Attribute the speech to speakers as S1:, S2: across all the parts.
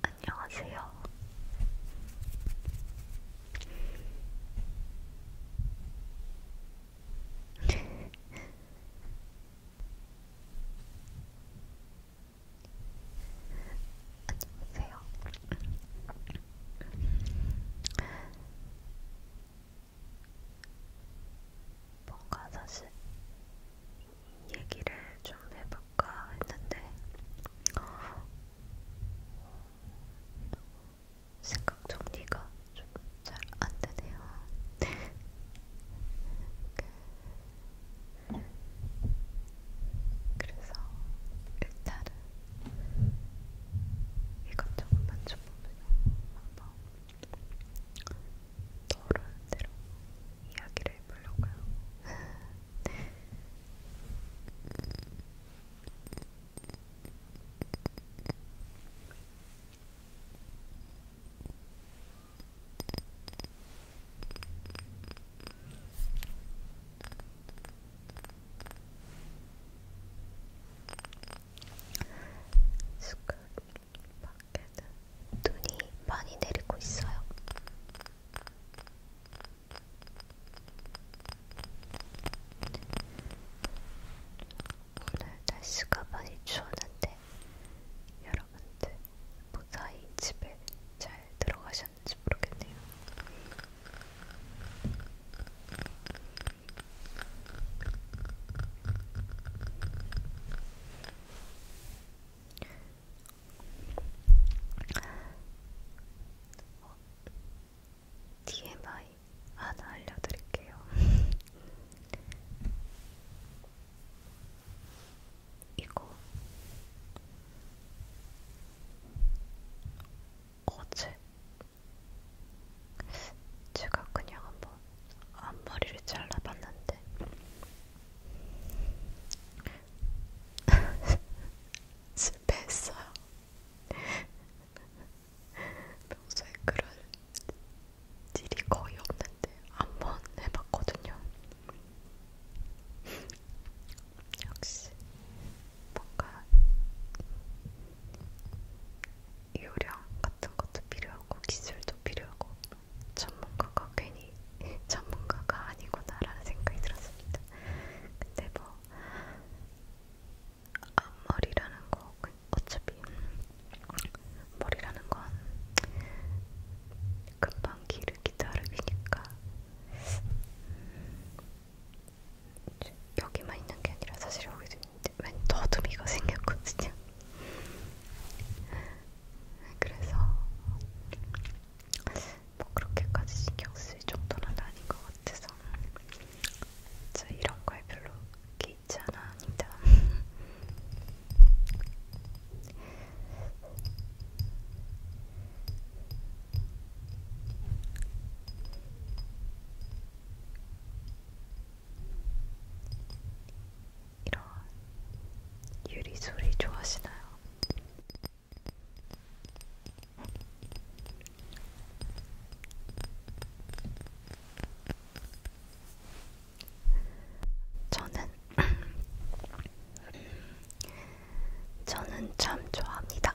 S1: 안녕하세요. 안녕하세요. 뭔가 사실 얘기를 좀 해볼까 했는데 생각 정리가 좀 잘 안 되네요. 그래서 일단은 이것저것 만져보면 한번 떠오르는 대로 이야기를 해보려고요. 숙박 밖에 눈이 많이 내리고 있어요. 오늘 날씨가 많이 추웠는데 여러분들 무사히 집에 잘 들어가셨는지 모르겠네요. 어, TMI 하나 알려드릴게요. 이거 어제 제가 그냥 한번 앞머리를 잘라봤는데 실패했어요. 평소에 그런 일이 거의 없는데 한번 해봤거든요. 역시 뭔가 요령 같은 것도 필요하고 기술도 필요하고 전문가가 괜히 전문가가 아니구나라는 생각이 들었습니다. 근데 뭐 앞머리라는 거 그 어차피 머리라는 건 금방 기르기 다르니까 음, 여기만 있는 게 아니라 사실 여기도 있는데 웬 더듬이가 생겼거든요. 그래서 뭐 그렇게까지 신경 쓸 정도는 아닌 것 같아서 저 이런 거에 별로 개의치 않아합니다. 이런 유리 소리 좋아하시나요? 저는 저는 참 좋아합니다.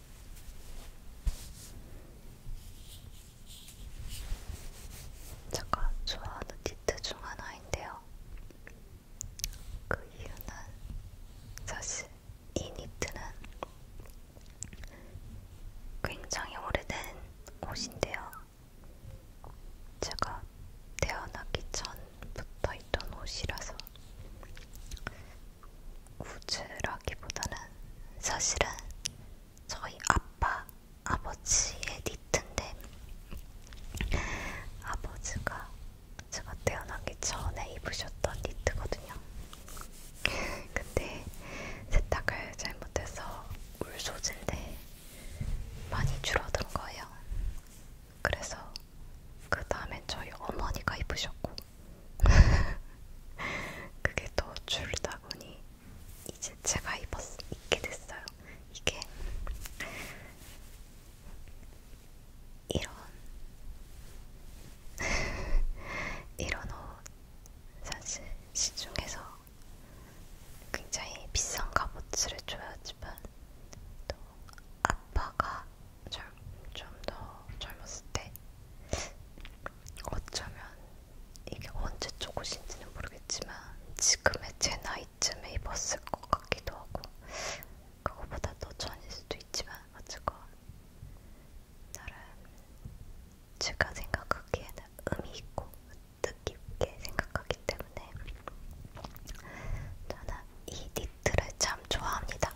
S1: 제가 좋아하는 니트 중 하나인데요. 그 이유는 사실 이 니트는 굉장히 오래된 옷인데요. 제가 태어나기 전부터 있던 옷이라서 우즈라 하기보다는 사실은 저희 아빠, 아버지의 니트인데 아버지가 제가 태어나기 전에 입으셨던 니트거든요. 근데 세탁을 잘못해서 울 소재인데 많이 줄어든 거예요. 그래서 그 다음에 저희 어머니가 입으셨고 그게 더 줄다 보니 이제 제가 입었, 입게 됐어요. 이게 이런 이런 옷 사실 시중에서 굉장히 비싼 값어치를 줘야지만 또 아빠가 좀더 좀 젊었을 때 어쩌면 이게 언제 초고신지는 모르겠지만 지금의 제 나이쯤에 입었을 것 같기도 하고 그거보다 더 전일 수도 있지만 어쨌건 나름 제가 생각하기에는 의미 있고 뜻깊게 생각하기 때문에 저는 이 니트를 참 좋아합니다.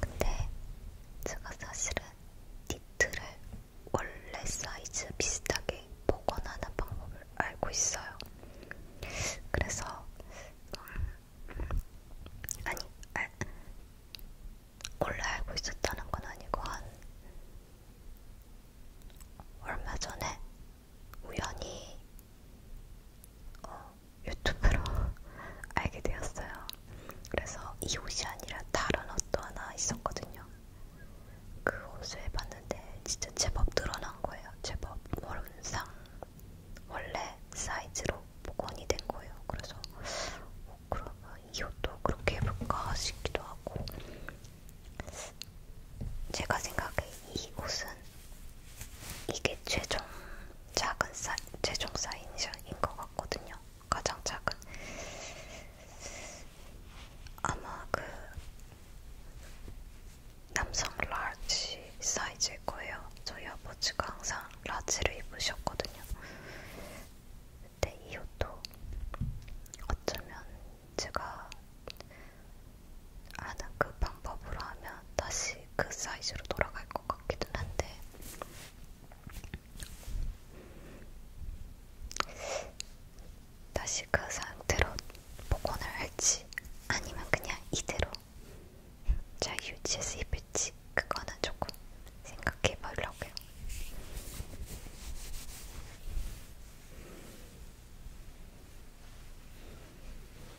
S1: 근데 제가 사실은 니트를 원래 사이즈 비슷하게 복원하는 방법을 알고 있어요. 그래서 음, 아니 알, 원래 알고 있었다는 건 아니고 한 얼마 전에 우연히 어, 유튜브로 알게 되었어요. 그래서 이 옷이 아니라 다른 옷도 하나 있었거든요. 그 옷을 봤는데 진짜 제법 늘어난 거예요. 제법 원상 원래 사이즈로 복원이 된 거예요. 그래서 어, 그러면 이 옷도 그렇게 해볼까 싶기도 하고 제가 생각해 이 옷은 아무튼 이게 최종 작은 사이, 최종 사인인 것 같거든요. 가장 작은 아마 그 남성 라지 사이즈일 거예요. 저희 아버지가 항상 라지를 입으셨거든요. 근데 이 옷도 어쩌면 제가 아는 그 방법으로 하면 다시 그 사이즈로 돌아갈 것 같기는 한데 다시 그 상태로 복원을 할지 아니면 그냥 이대로 잘 유지해서 입을지 그거는 조금 생각해 보려고요.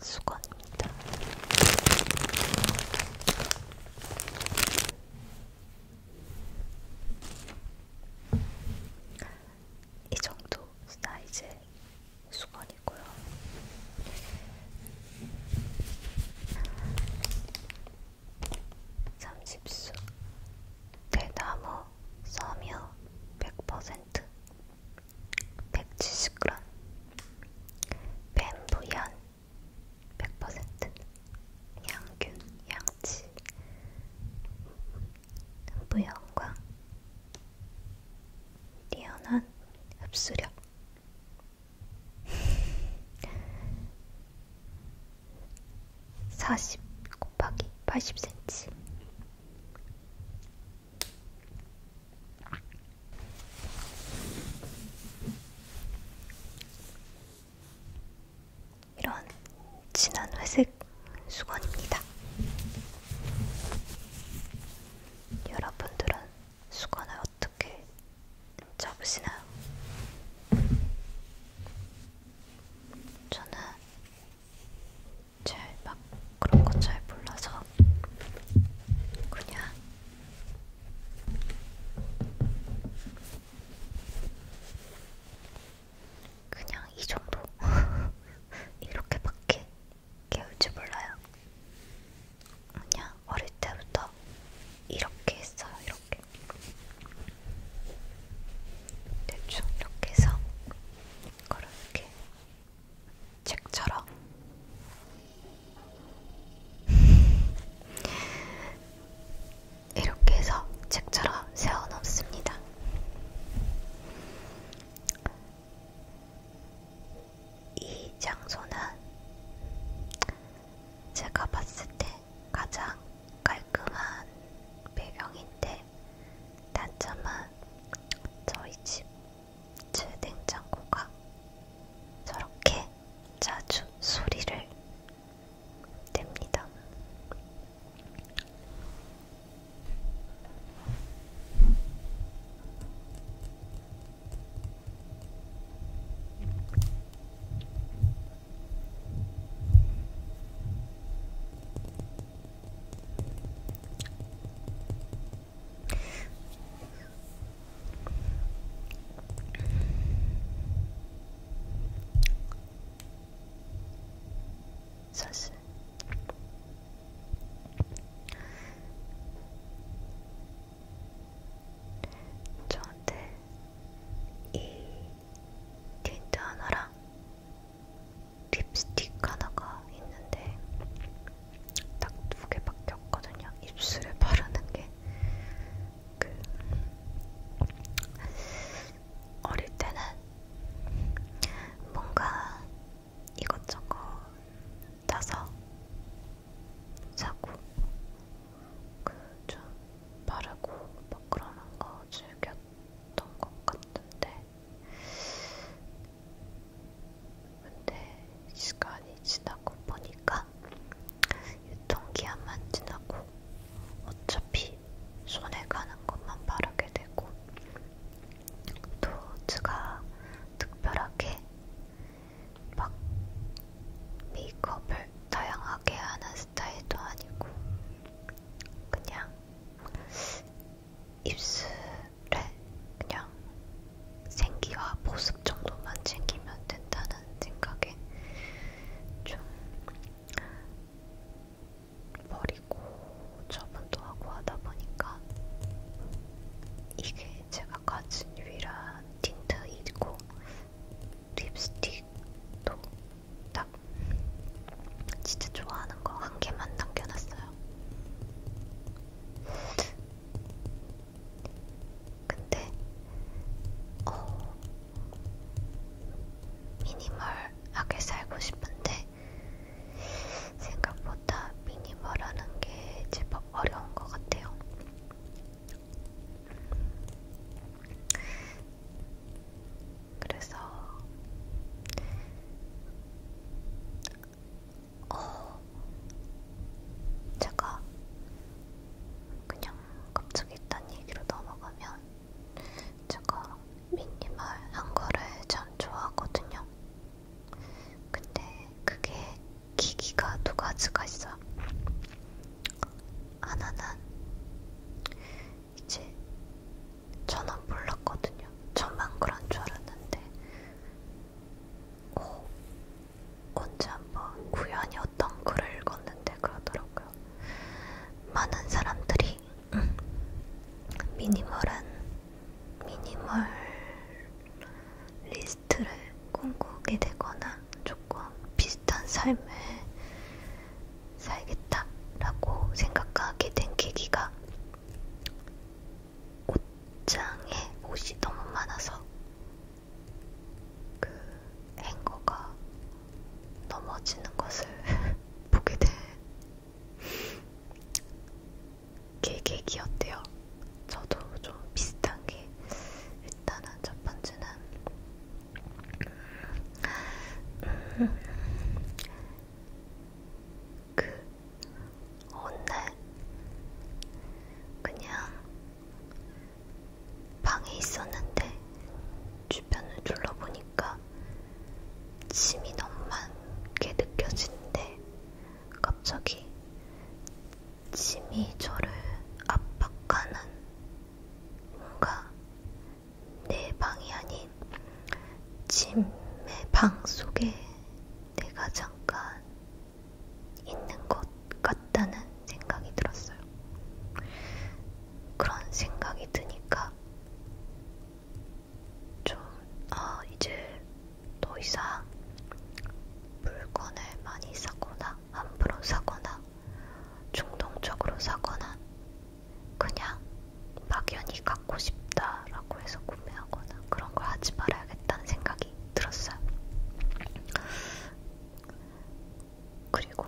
S1: 수건입니다. 이 정도 사이즈의 수건이고요. 삼십수 대나무 섬유 100% 170g 뱀부연 100% 양균, 양치 부연과 뛰어난 흡수력 사십 곱하기 80cm 이런 진한 회색 수건입니다. 여러분들은 수건을 어떻게 접으시나요? 저는 잘막 그런 거잘 몰라서 그냥 그냥 이 정도 이렇게밖에 개울지 몰라요. 그냥 어릴 때부터 이렇게 했어요. 이렇게 대충 이렇게 해서 이걸 이렇게 책처럼. 이렇게 해서 책처럼 세워놓습니다. 이 장소는 제가 봤을 때 가장 깔끔한 배경인데 단점은 저희 집제 냉장고가 저렇게 자주 소리를 냅니다. 사실 저한테 이 틴트 하나랑 립스틱 하나가 있는데 딱 두 개밖에 없거든요. 입술에 바르는 게 그 어릴 때는 뭔가 이것저것 따서 사고 그좀 바르고 막 그러는 거 즐겼던 것 같은데 근데 시간이 지나고 보니까 유통기한만 지나고 어차피 손에 가는 것만 바르게 되고 또 제가 특별하게 막 메이크업을 다양하게 하는 스타일도 아니고 그냥 입술 그냥 생기와 보습 정도만 챙기면 된다는 생각에 좀 버리고 저분도 하고 하다 보니까 이게 제가 가진 유일한 틴트이고 립스틱도 딱 진짜 좋아하는 거 한 개만 남겨놨어요. 근데 어, 미니멀하게 살고 싶은데 생각보다 미니멀하는 게 제법 어려운 것 같아요. 그래서 어, 제가 그냥 갑자기 딴 얘기로 넘어가면 제가 미니멀한 거를 전 좋아하거든요. 근데 그게 기기가 두 가지가 있어요. 하나는 이제 저는 몰랐거든요. 저만 그런 줄 알았는데 오, 어, 언제 한번 구연이 어떤 글을 읽었는데 그러더라고요. 많은 사람들이 음, 미니멀은 미니멀 리스트를 꿈꾸게 되거나 조금 비슷한 삶을 살겠다라고 생각하게 된 계기가 옷장에 옷이 너무 많아서 그 행거가 넘어지는 것을 보게 된 계획이었대요. 저도 좀 비슷한 게 일단은 첫 번째는 그 오늘 그냥 방에 있었는데 주변을 둘러보니까 짐이 너무 많게 느껴지는데 갑자기 짐이 저를 압박하는 뭔가 내 방이 아닌 짐의 방 속에 내가 잠깐 있는 것 같다는 생각이 들었어요. 그런 생각이 드니까 좀, 아, 이제 더 이상 물건을 많이 사거나 함부로 사거나 충동적으로 사거나 그냥 막연히 갖고 싶다라고 해서 구매하거나 그런 걸 하지 말아야겠다는 생각이 들었어요. 그리고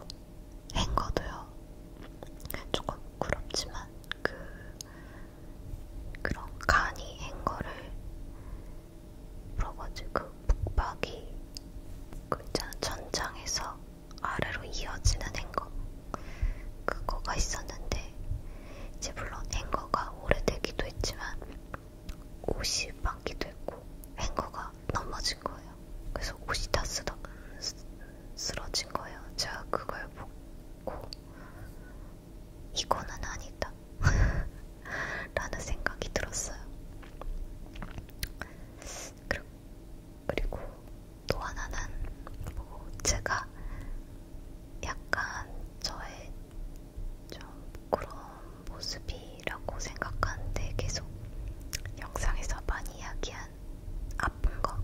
S1: 행거도요. 조금 부럽지만 그 그런 간이 행거를 물어보지 그 북박이 그 있잖아 천장에서 아래로 이어지는 행거 그거가 있었는데 이제 물론 행거가 오래되기도 했지만 옷이 많기도 했고 행거가 넘어진 거예요. 그래서 옷이 다 쓰러, 쓰러진 거예요. 제가 그걸 보고 이거는 아니다 라는 생각이 들었어요. 그리고 또 하나는 뭐 제가 약간 저의 좀 그런 모습이라고 생각하는데 계속 영상에서 많이 이야기한 아픈 거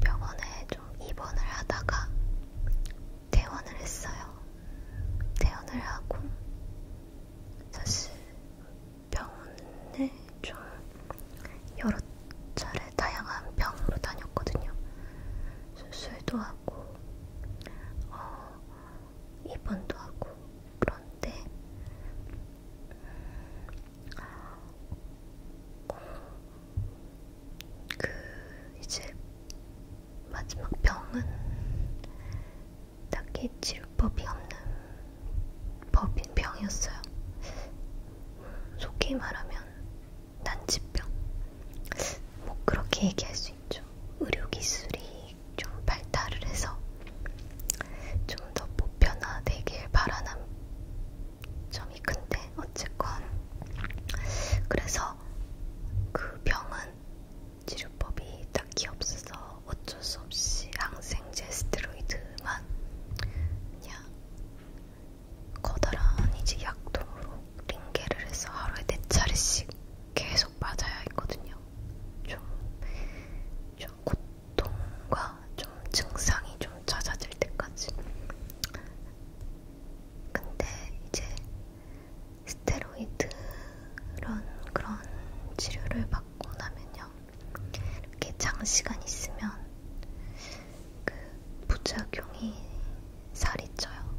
S1: 병원에 좀 입원을 하다가 퇴원을 했어요. 퇴원을 하고 사실 병원에 좀 여러 차례 다양한 병으로 다녔거든요. 수술도 하고, 어, 입원도 하고, 그런데, 어, 그, 이제, 마지막 병은 딱히 치료법이 없는 법인 병이었어요. 음, 속히 말하면 난치병 뭐 그렇게 얘기할 수 있죠. 의료 기술이 좀 발달을 해서 좀 더 보편화되길 바라는 점이 큰데 어쨌건 그래서 그 병은 치료법이 딱히 없어서 어쩔 수 없이 항생제 스테로이드만 그냥 커다란 이제 약통으로 링겔을 해서 하루에 네 차례씩 계속 맞아야 했거든요. 좀, 좀 고통과 좀 증상이 좀 잦아질 때까지. 근데 이제 스테로이드 그런 그런 치료를 받고 나면요, 이렇게 장시간 있으면 그 부작용이 살이 쪄요.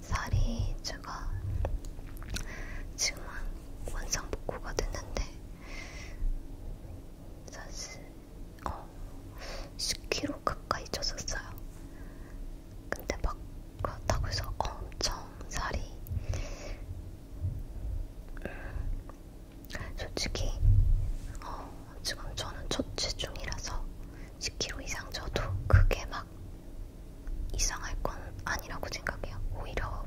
S1: 살이 제가 지금은 원상 복구가 됐는데 사실 어 10kg 가까이 쪘었어요. 근데 막 그렇다고 해서 엄청 살이 음, 솔직히 어, 지금 저는 초치 중이라서 10kg 이상 져도 크게 막 이상할 건 아니라고 생각해요. 오히려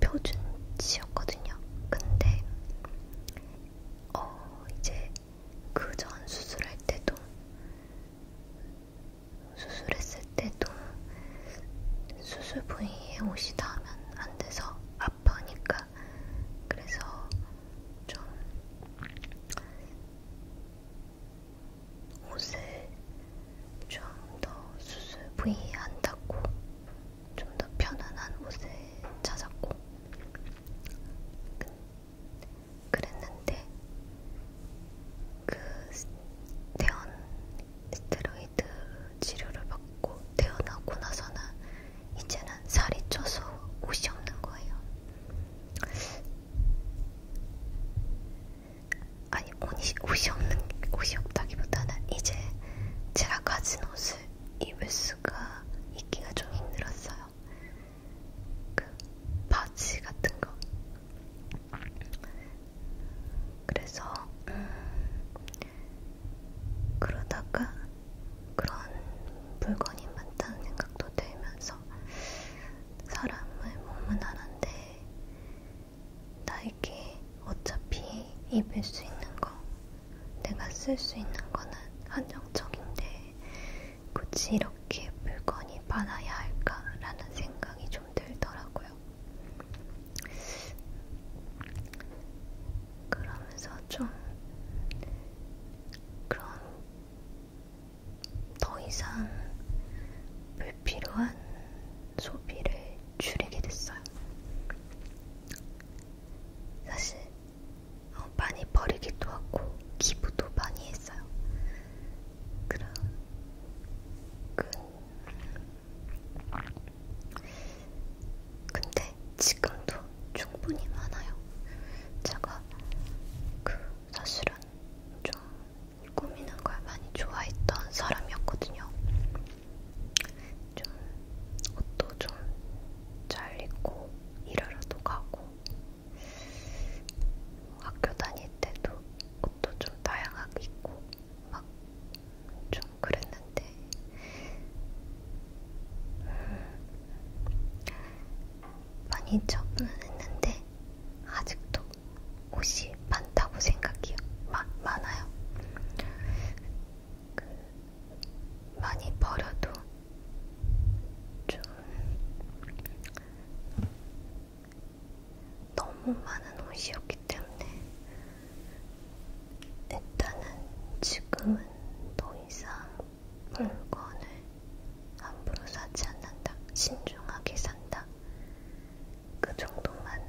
S1: 표준치였거든요. 근데 어 이제 그 전 수술할 때도 수술했을 때도 수술 부위에 옷이 닿으면 안 돼서 아프니까 거야. 그래서 좀 옷을 좀 더 수술 부위한다고 좀 더 편안한 옷을 찾았고 그랬는데 그 대원 스테로이드 치료를 받고 태어나고 나서는 이제는 살이 쪄서 옷이 없는 거예요. 아니 옷이, 옷이 없는 옷이 없다기보다는 이제 제가 가진 옷을 입을 수가 입기가 좀 힘들었어요. 그 바지 같은 거. 그래서 음, 그러다가 그런 물건이 많다는 생각도 들면서 사람을 몸은 하는데 나에게 어차피 입을 수 있는 거 내가 쓸 수 있는 거는 한정적인데 굳이 이렇게 물건이 많아야 할까라는 생각이 좀 들더라고요. 그러면서 좀 그런 더 이상 불필요한 소비를 줄이게 됐어요. 사실 어, 많이 버리기도 하고 기부도 많이 했어요. 그런 그 근데 지금도 충분히 많아요. 제가 그 사실은 좀 꾸미는 걸 많이 좋아했던 사람이었거든요. 좀 옷도 좀 잘 입고 일하러도 가고 학교 다닐 때도 옷도 좀 다양하게 입고 막 좀 그랬는데 같아. 많이 처분을 했는데 아직도 옷이 많다고 생각해요. 마, 많아요. 그, 많이 버려도 좀 너무 많은 옷이었기 때문에 일단은 지금은 더 이상 물건을 함부로 사지 않는다. 신중하게 산다. 그 정도만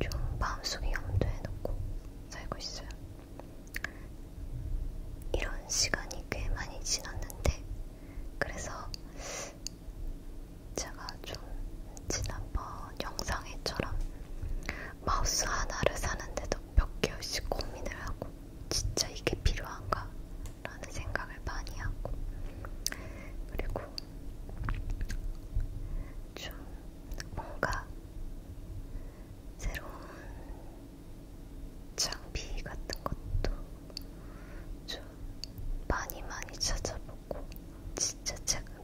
S1: 좀 마음속에 염두에 놓고 살고 있어요. 이런 시간이 꽤 많이 지났는데, 그래서 제가 좀 지난번 영상에처럼 마우스 하나를 사는데도 몇 개월씩 고민을 하고 진짜 이게 필요한가? 라는 생각을 많이 하고 그리고 좀 뭔가 새로운 장비 같은 것도 좀 많이 많이 찾아보고 진짜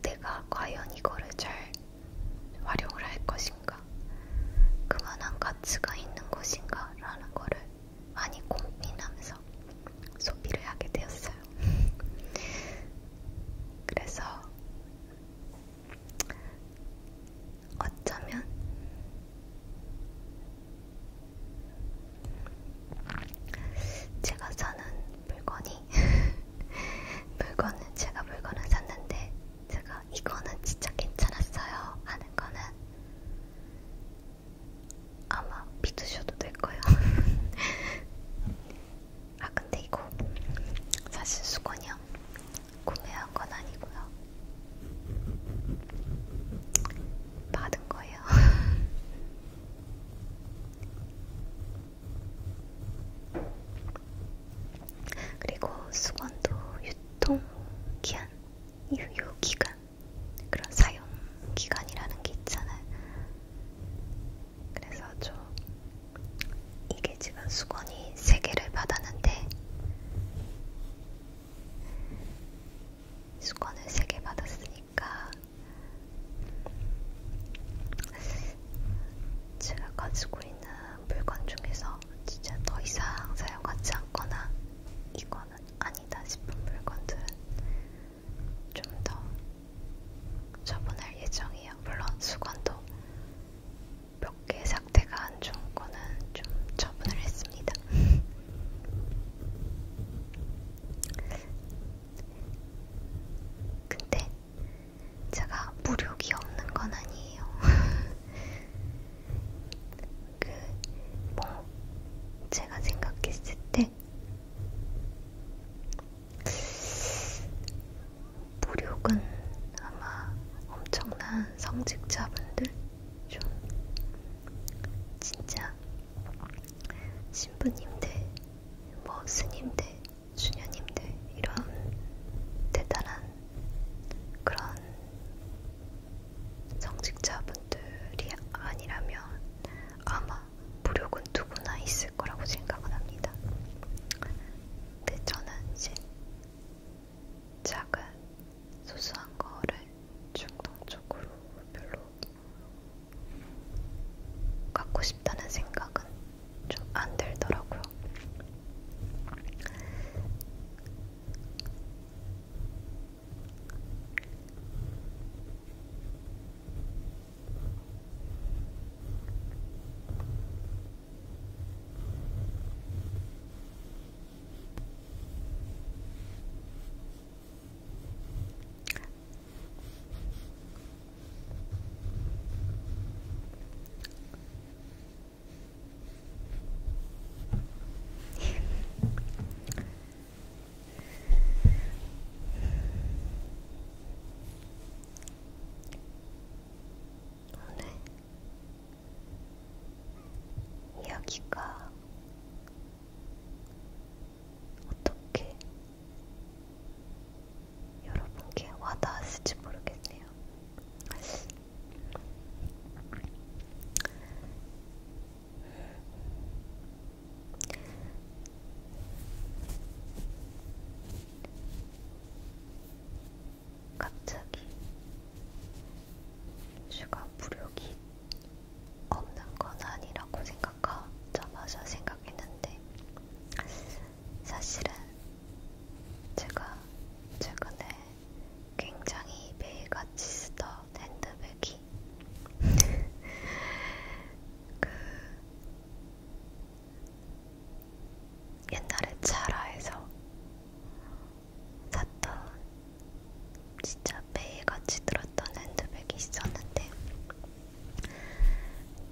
S1: 내가 과연 이거를 잘 활용을 할 것인가, 그만한 가치가 있는 것인가라는 거를 많이 고민하면서 소비를 하게 되었어요. 그래서 어쩌면 제가 사는 물건이 물건은 제가 물건을 샀는데 제가 이거는 진짜 괜찮았어요 하는 거는 아마 믿으셔도 될 거예요. 아 근데 이거 사실 수건이요 구매한 건 아니고요. 받은 거예요. 그리고 수건도 유통기한, 유효기간, 그런 사용기간이라는 게 있잖아요. 그래서 좀 이게 지금 수건이 3개를 받았는데 수건을 3개 받았으니까 제가 가지고 있는 물건 중에서 진짜 더 이상 사용하지 않거나 이거는 아니다 싶은 물건들은 좀 더 처분할 예정이에요. 물론 수건도 몇개 상태가 안 좋은 거는 좀 처분을 했습니다. 근데 제가 무력이 없는 건 아니에요. 그, 뭐, 제가 생각했을 때, 무력은 아마 엄청난 성직자분들, 좀, 진짜, 신부님들, 뭐, 스님들, 수녀님들 이런 대단한 그런 성직자분들이 아니라면 아마 무력은 누구나 있을 거라고 생각은 합니다. 근데 저는 이제 작은 소소한 거를 충동적으로 별로 갖고 싶다는 생각은 좀안 들더라고요. 오늘 이야기가 어떻게 여러분께 와닿았을지 모르겠네요. 갑자기 슈가 부력이 없는 건 아니라고 생각하자마자 생각했는데 사실은 제가 최근에 굉장히 매일같이 쓰던 핸드백이 그 옛날에 자라에서 샀던 진짜 매일같이 들었던 핸드백이 있었는데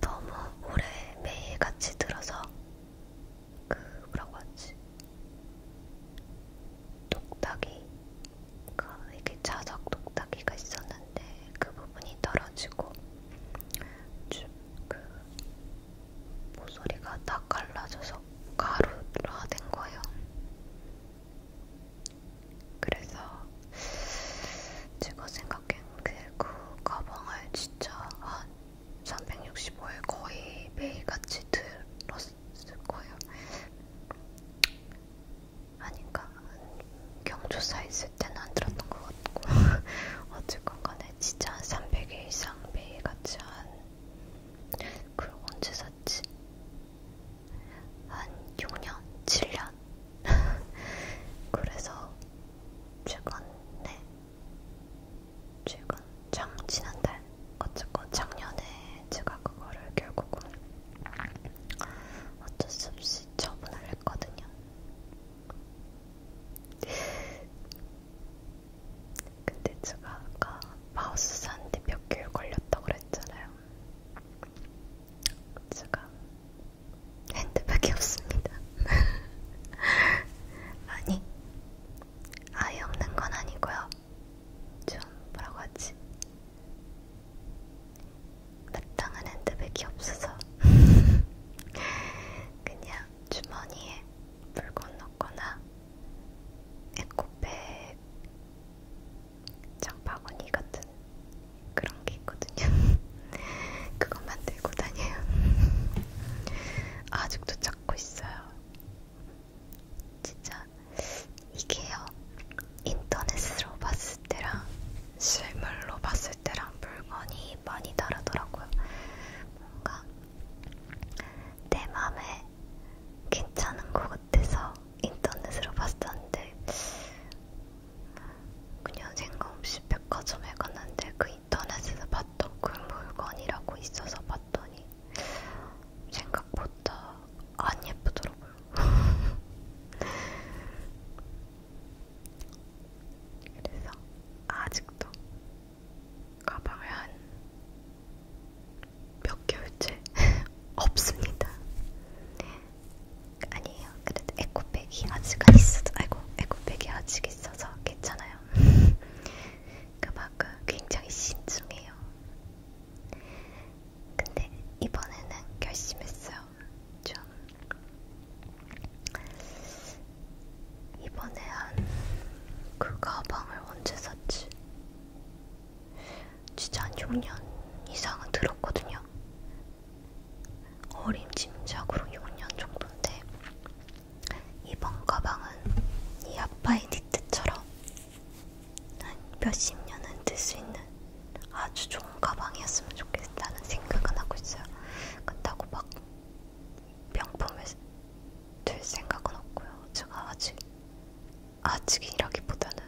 S1: 너무 오래 매일같이 들어서 그 뭐라고 하지? 똑딱이 그러니까 이렇게 자석 똑딱이가 있었는데 그 부분이 떨어지고 그 모서리가 다 갈라져서 가루라 된 거예요. 그래서 제가 생각한 그 가방을 진짜 한 365일 거의 매일같이 들었을 거예요. 아닌가? 경조사 있을 때는 안 들었던 것 같고 어쨌건 간에 진짜 한 300일 이상 매일같이 한... 그걸 언제 샀지? 한 6년? 7년? 그래서 최근에 지금 장 지난달 어쨌고 작년에 제가 그거를 결국은 어쩔 수 없이 처분을 했거든요. 근데 제가 아까 마우스 사는데 몇 개월 걸렸다고 그랬잖아요. 제가 핸드백이 없습니다. 아니, 아예 없는 건 아니고요. 좀 뭐라고 하지? 마땅한 핸드백이 없어서 그냥 주머니에 물건 넣거나 에코백 장바구니 같은 그런 게 있거든요. 그것만 들고 다녀요. 아직도 찾고 있어요. 진짜 이게요. 인터넷으로 봤을 때랑 실물로 봤을 때랑 물건이 많이 다르더라고요. 뭔가 내 맘에 괜찮은 것 같아서 인터넷으로 봤었는데 그냥 생각 없이 백화점에 갔는데 그 인터넷에서 봤던 그 물건이라고 있어서 봤더니 생각보다 안 예쁘더라고요. 그래서 아직도 가방을 한 몇 개월째 없습니다. 아니에요. 그래도 에코백이 아직 있어서, 아이고 에코백이 아직 있어서 괜찮아요. 그만큼 그러니까 굉장히 신중해요. 근데 이번에는 결심했어요. 좀 이번에 한 그 가방을 언제 샀지? 진짜 한 6년 이상은 들었거든요. 어림짐작으로 6년 정도인데 이번 가방은 이 아빠의 니트처럼 한 몇십 년은 들 수 있는 아주 좋은 가방이었으면 좋겠다는 생각은 하고 있어요. 그렇다고 막 명품을 들 생각은 없고요. 제가 아직 아직이라기보다는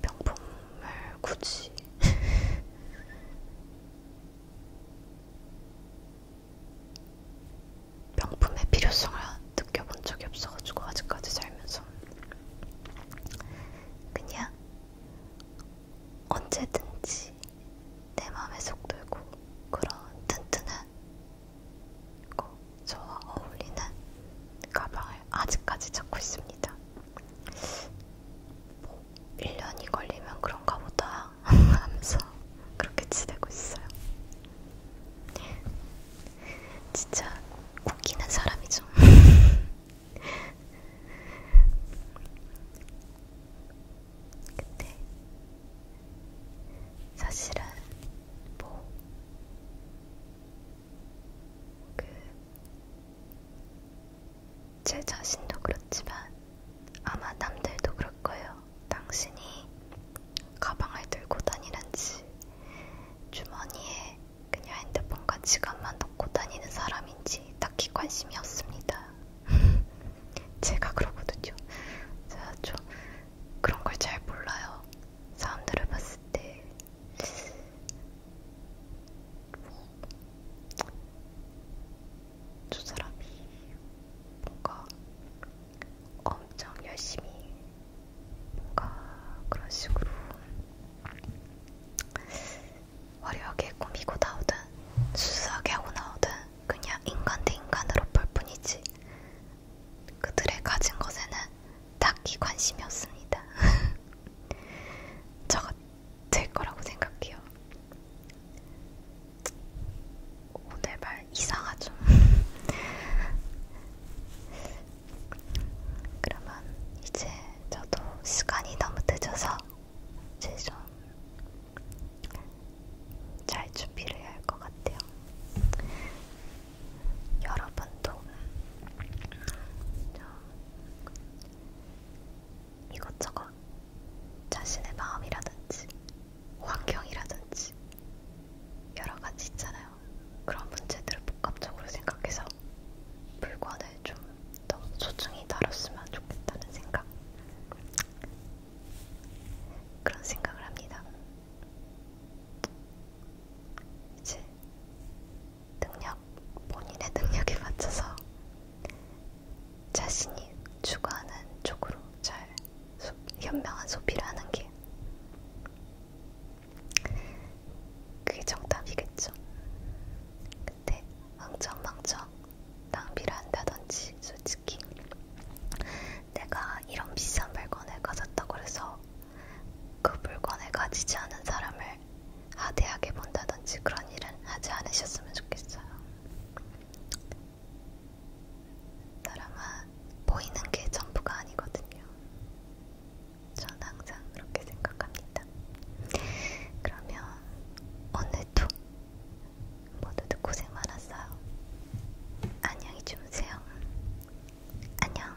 S1: 명품을 굳이 명품의 필요성을 느껴본 적이 없어가지고 아직까지 살면서 그냥 언제든지 내 마음에 속 들고 그런 튼튼한 그리고 저와 어울리는 가방을 아직까지 찾고 있습니다. 뭐 1년이 걸리면 그런가 보다 하면서 그렇게 지내고 있어요. 진짜 웃기는 사람이죠. 근데 사실은 뭐그 제 자신도 그렇지만 아마 남들도 그럴 거예요. 당신이 가방을 들고 다니는지 주머니에 그냥 핸드폰과 지갑만 넣고 다니는 사람인지 딱히 관심이 없습니다. 제가 그러거든요. 제가 좀 그런 걸 잘 몰라요. 사람들을 봤을 때두 사람이 뭔가 엄청 열심히 뭔가 그런 식으로 화려하게 꾸미고 나오든 수수하게 하고 나오든 그냥 인간 대 인간으로 볼 뿐이지 그들의 가진 것에는 딱히 관심이 없습니다. 저 같은 될 거라고 생각해요. 오늘 말 이상하죠? 그러면 이제 저도 시간이 너무 늦어서 이제 좀 잘 준비를 해야 할 것 같아요. 여러분도 이것저것 자신의 마음이라든지 환경이라든지 여러가지 있잖아요. 그런 문제들을 복합적으로 생각해서 물건을 좀 더 소중히 다뤘으면 좋겠다는 생각 그런 생각을 합니다. 이제 능력 본인의 능력에 맞춰서 자신이 추구하는 쪽으로 잘 소, 현명한 소비를 하는 게 그게 정답이겠죠. 근데 엉청망청 낭비를 한다든지 솔직히 내가 이런 비싼 물건을 가졌다고 해서 그 물건을 가지지 않은 사람을 하대하게 본다든지 그런 일은 하지 않으셨으면 좋겠어요. 사람은 보이는 게 전부가 아니거든요. 전 항상 그렇게 생각합니다. 그러면 오늘도 모두들 고생 많았어요. 안녕히 주무세요. 안녕.